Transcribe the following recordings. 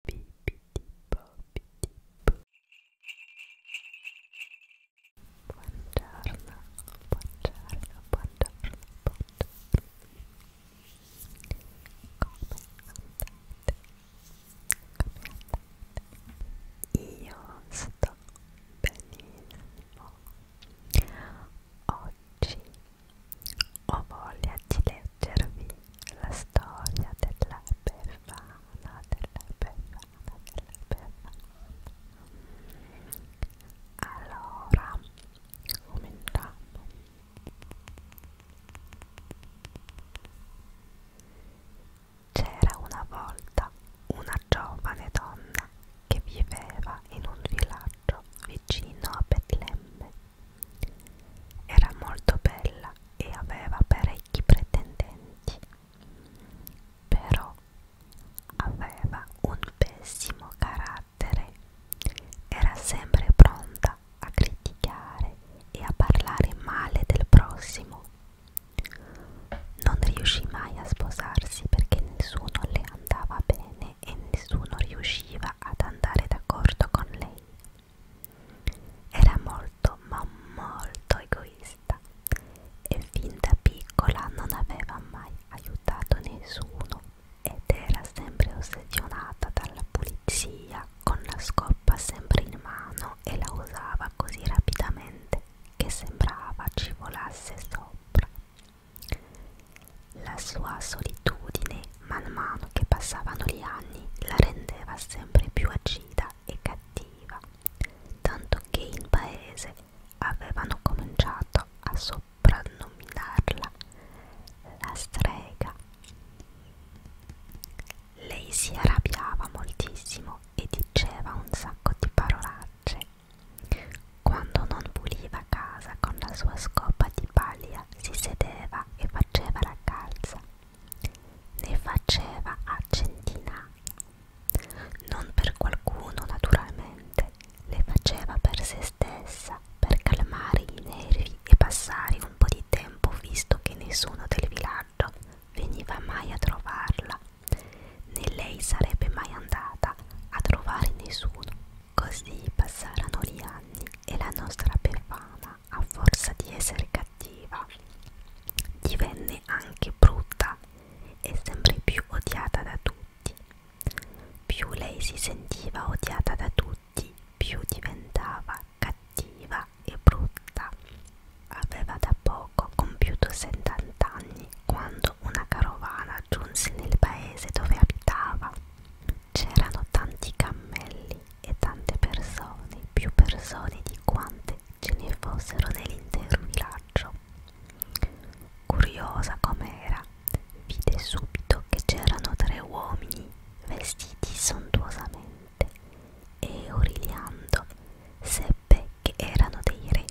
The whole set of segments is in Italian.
Buongiorno, buongiorno, buongiorno, buongiorno. Come andate? Come andate? Io sto benissimo. Oggi ho voglia di leggervi la storia della Befana, della Befana, della Befana. Allora, cominciamo. C'era una volta una giovane donna che viveva in un villaggio vicino a Betlemme. Era molto bella e aveva parecchi pretendenti, però aveva un pessimo carattere, era sempre pronta a criticare e a parlare male del prossimo. Non riuscì mai a sposarsi perché nessuno le andava bene e nessuno riusciva ad andare d'accordo con lei. Era molto ma molto egoista e fin da piccola non aveva mai aiutato nessuno ed era sempre ossessionata dalla pulizia con la scoppa sempre in mano e la usava così rapidamente che sembrava ci volasse sopra. La sua solitudine man mano che passavano gli anni la rendeva sempre più agita e cattiva, tanto che in paese avevano cominciato a soprannominarla la strega. Lei si arrabbiava moltissimo e diceva un sacco di parolacce. Quando non puliva casa con la sua scopa di paglia si sedeva e faceva la calza. Ne faceva a centinaia. Non per qualcuno, naturalmente, le faceva per se stessa, per calmare i nervi e passare un po' di tempo visto che nessuno del villaggio veniva mai a trovarla, né lei sarebbe mai andata a trovare nessuno. Così passarono gli anni e la nostra Befana ma a forza di essere cattiva divenne anche brutta e sempre più odiata da tutti. Più lei si sentiva odiata da tutti, più diventava cattiva e brutta. Aveva da poco compiuto 70 anni quando una carovana giunse nel paese dove abitava. C'erano tanti cammelli e tante persone, più persone di quante ce ne fossero nell'intero villaggio. Curiosa com'era, vide subito che c'erano tre uomini vestiti sontuosamente e origliando seppe che erano dei re.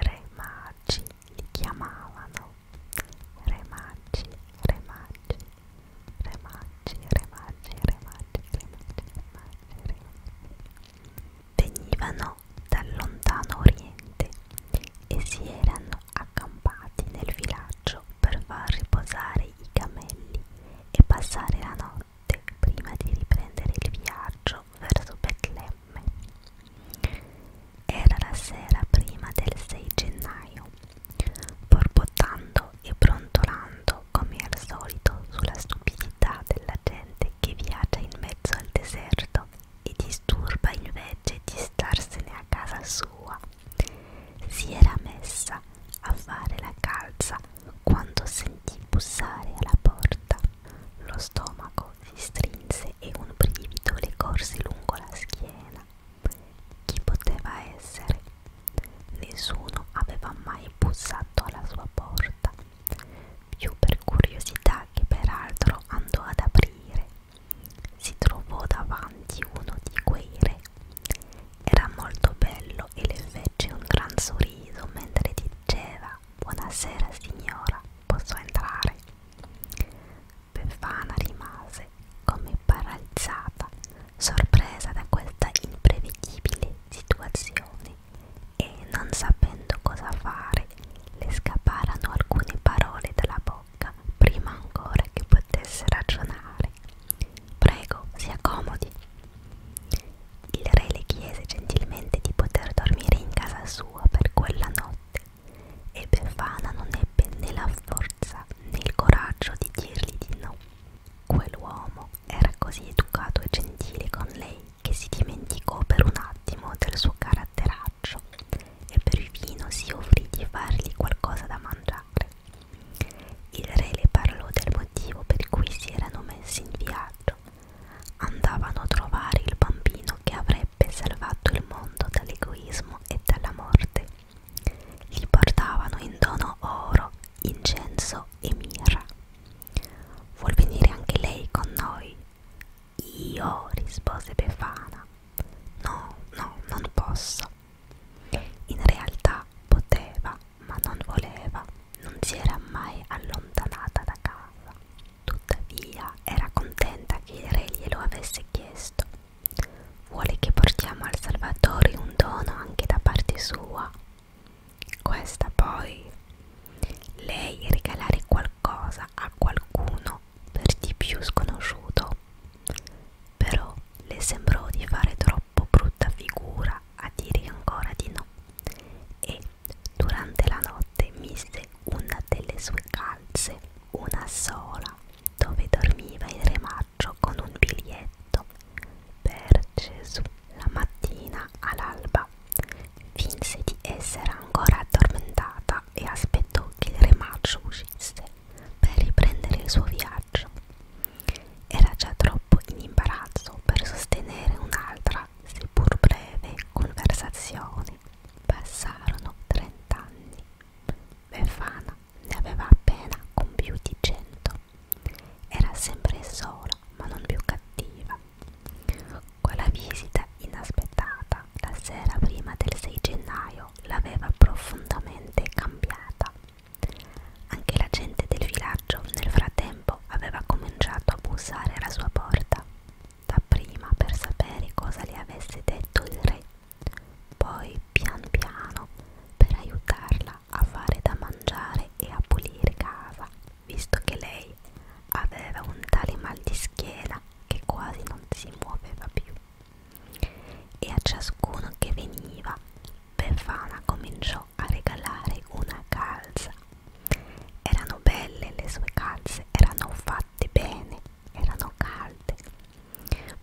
Re magi li chiamavano. Re magi, re magi re maggi, re maggi, re maggi, re maggi, re maggi, re maggi venivano dal lontano oriente e si erano accampati nel villaggio per far riposare i camelli e passare la notte prima di riprendere il viaggio verso Betlemme. Era la sera prima del 6 gennaio borbottando e brontolando come al solito sulla stupidità della gente che viaggia in mezzo al deserto e disturba invece di starsene a casa sua. Si era messa a fare la calza quando sentì bussare alla porta. Lo stomaco si strinse e un brivido le corse lungo la schiena. Chi poteva essere? Nessuno aveva mai bussato alla sua porta, più per curiosità che peraltro andò ad aprire. Si trovò davanti uno di quei re. Era molto bello e le fece un gran sorriso mentre diceva Buonasera signora, posso entrare? Befana rimase come paralizzata, sorpresa da questa imprevedibile situazione e non sapendo cosa fare, le scaparono alcune parole dalla bocca prima ancora che potesse ragionare. Prego, si accomodi. Il re le chiese gentilmente di poter dormire in casa sua per quella notte e Befana non ebbe né la forza né il coraggio di dirgli di no. Quell'uomo era così educato e gentile con lei che si dimenticò per un attimo del suo caratteraccio e per il vino si offrì di fargli qualcosa da mangiare. Il re le parlò del motivo per cui si erano messi in viaggio. Andavano a trovare il bambino che avrebbe salvato il mondo dall'egoismo e dalla morte. Li portavano in dono oro, incenso e mirra. Vuol venire anche lei con noi? Io, rispose Befana. No, no, non posso. In realtà poteva, ma non voleva, non si era mai allontanata da casa. Tuttavia era contenta che il re glielo avesse chiesto Vuole che portiamo al Salvatore un dono anche da parte sua. Questa poi. Lei regalare qualcosa a qualcuno per di più sconosciuto. Però le sembrò di fare troppo brutta figura a dire ancora di no. E durante la notte mise una delle sue calze, una sola dove dormiva il re Maggio con un biglietto per Gesù. La mattina all'alba finse di essere ancora addormentata e aspettò che il re Maggio uscisse per riprendere il suo viaggio. Era già troppo in imbarazzo per sostenere un'altra, seppur breve, conversazione. Passarono trent'anni. Befana ne aveva appena compiuti cento. Era sempre sola, ma non più cattiva. Quella visita inaspettata la sera prima del 6 gennaio l'aveva profondamente cambiata. Anche la gente del villaggio nel frattempo aveva cominciato a bussare alla sua porta, dapprima per sapere cosa le avesse detto il re poi pian piano per aiutarla a fare da mangiare e a pulire casa, visto che lei aveva un tale mal di schiena che quasi non si muoveva più. E a ciascuno che veniva, Befana cominciò a regalare una calza. Erano belle le sue calze, erano fatte bene, erano calde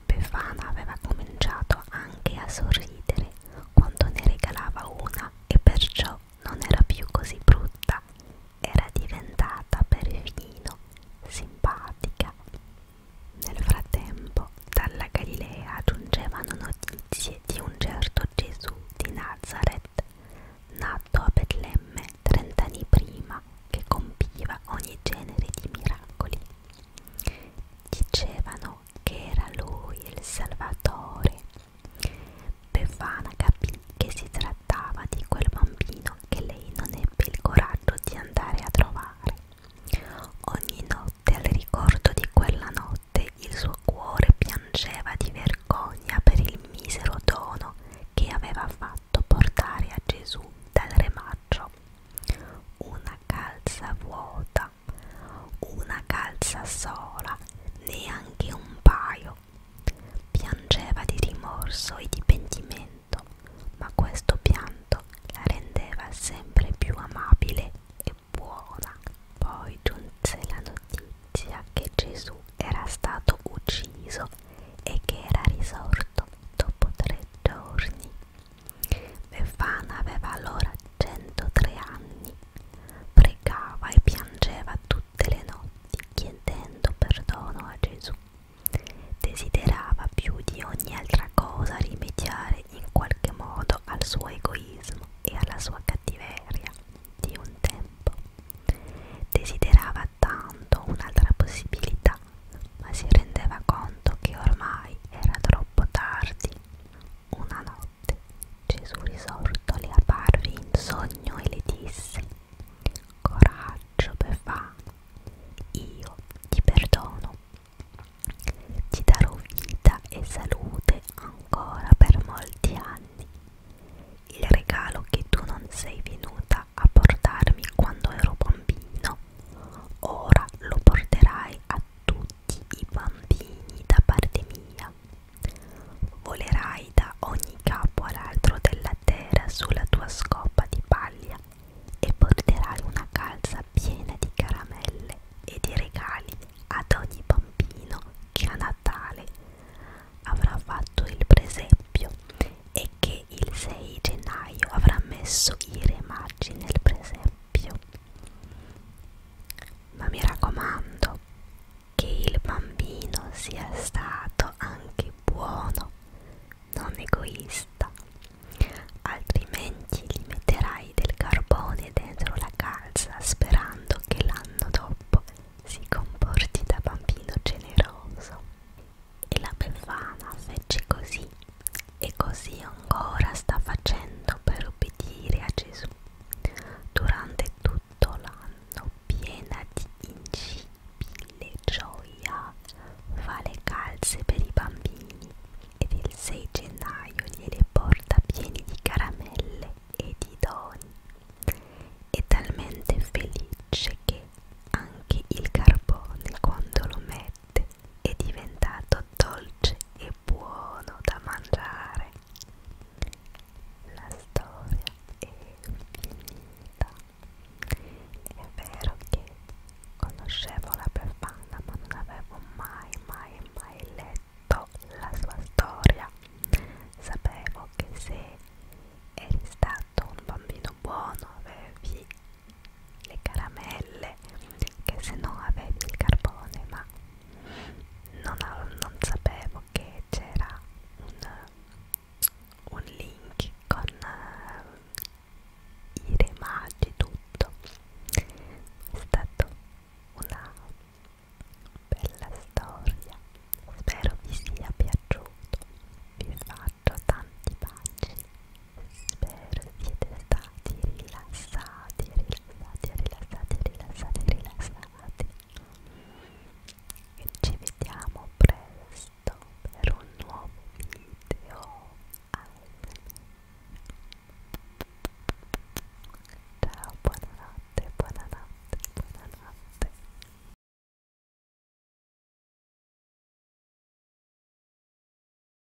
Befana aveva cominciato anche a sorridere quando ne regalava una e perciò non era più così brutta, era diventata perfino simpatica. Nel frattempo, dalla Galilea giungevano notizie di un certo Gesù di Nazareth, nato a Betlemme trent'anni prima, che compiva ogni genere di miracoli. Dicevano capito che era lui il salvatore. Befana capì che si trattava di quel bambino che lei non ebbe il coraggio di andare a trovare. Ogni notte al ricordo di quella notte il suo cuore piangeva di vergogna per il misero dono che aveva fatto portare a Gesù dal remaccio. Una calza vuota una calza sola, neanche un paio. Piangeva di rimorso e di pentimento, ma questo pianto la rendeva sempre più amabile e buona. Poi giunse la notizia che Gesù era stato ucciso e che era risorto dopo tre giorni. Befana aveva allora 103 anni, pregava e piangeva tutte le notti chiedendo perdono a Gesù. Desiderava più di ogni altra cosa rimediare in qualche modo al suo egoismo e alla sua cattiveria di un tempo. Desiderava tanto un'altra possibilità ma si rendeva conto che ormai era troppo tardi. Una notte Gesù risorto le apparve in sogno e le disse Coraggio Befana, io ti perdono, ti darò vita e salute ancora per molti anni. Il regalo che tu non sei venuta a portarmi quando ero bambino, ora lo porterai a tutti tutti i bambini da parte mia. Volerai da ogni capo all'altro della terra sulla tua scopa di paglia e porterai una calza piena di caramelle e di regali ad ogni bambino che a Natale avrà fatto il presepio e che il 6 gennaio avrà messo i re magi nel presepio doppio. Ma mi raccomando che il bambino sia stato anche buono, non egoista, altrimenti gli metterai del carbone dentro la calza sperando che l'anno dopo si comporti da bambino generoso. E la Befana fece così e così ancora sta facendo per obbedire a Gesù durante tutto l'anno, piena di incipile gioia, fa le calze per i bambini ed il 6 gennaio gliele porta pieni di caramelle e di doni. È talmente felice che anche il carbone quando lo mette è diventato dolce e buono da mangiare. La storia è finita. È vero che conoscevo la Befana ma non avevo mai, mai, mai letto la sua storia. Sapevo che se eri stato un bambino buono avevi le caramelle che se no avevi il carbone ma non, non sapevo che c'era un, un link con uh, i remaggi tutto è stata una bella storia spero vi sia piaciuto vi faccio tanti baci Spero siete stati rilassati, rilassati, rilassati, rilassati, rilassati. E ci vediamo presto per un nuovo video. Ciao, buonanotte, buonanotte, buonanotte.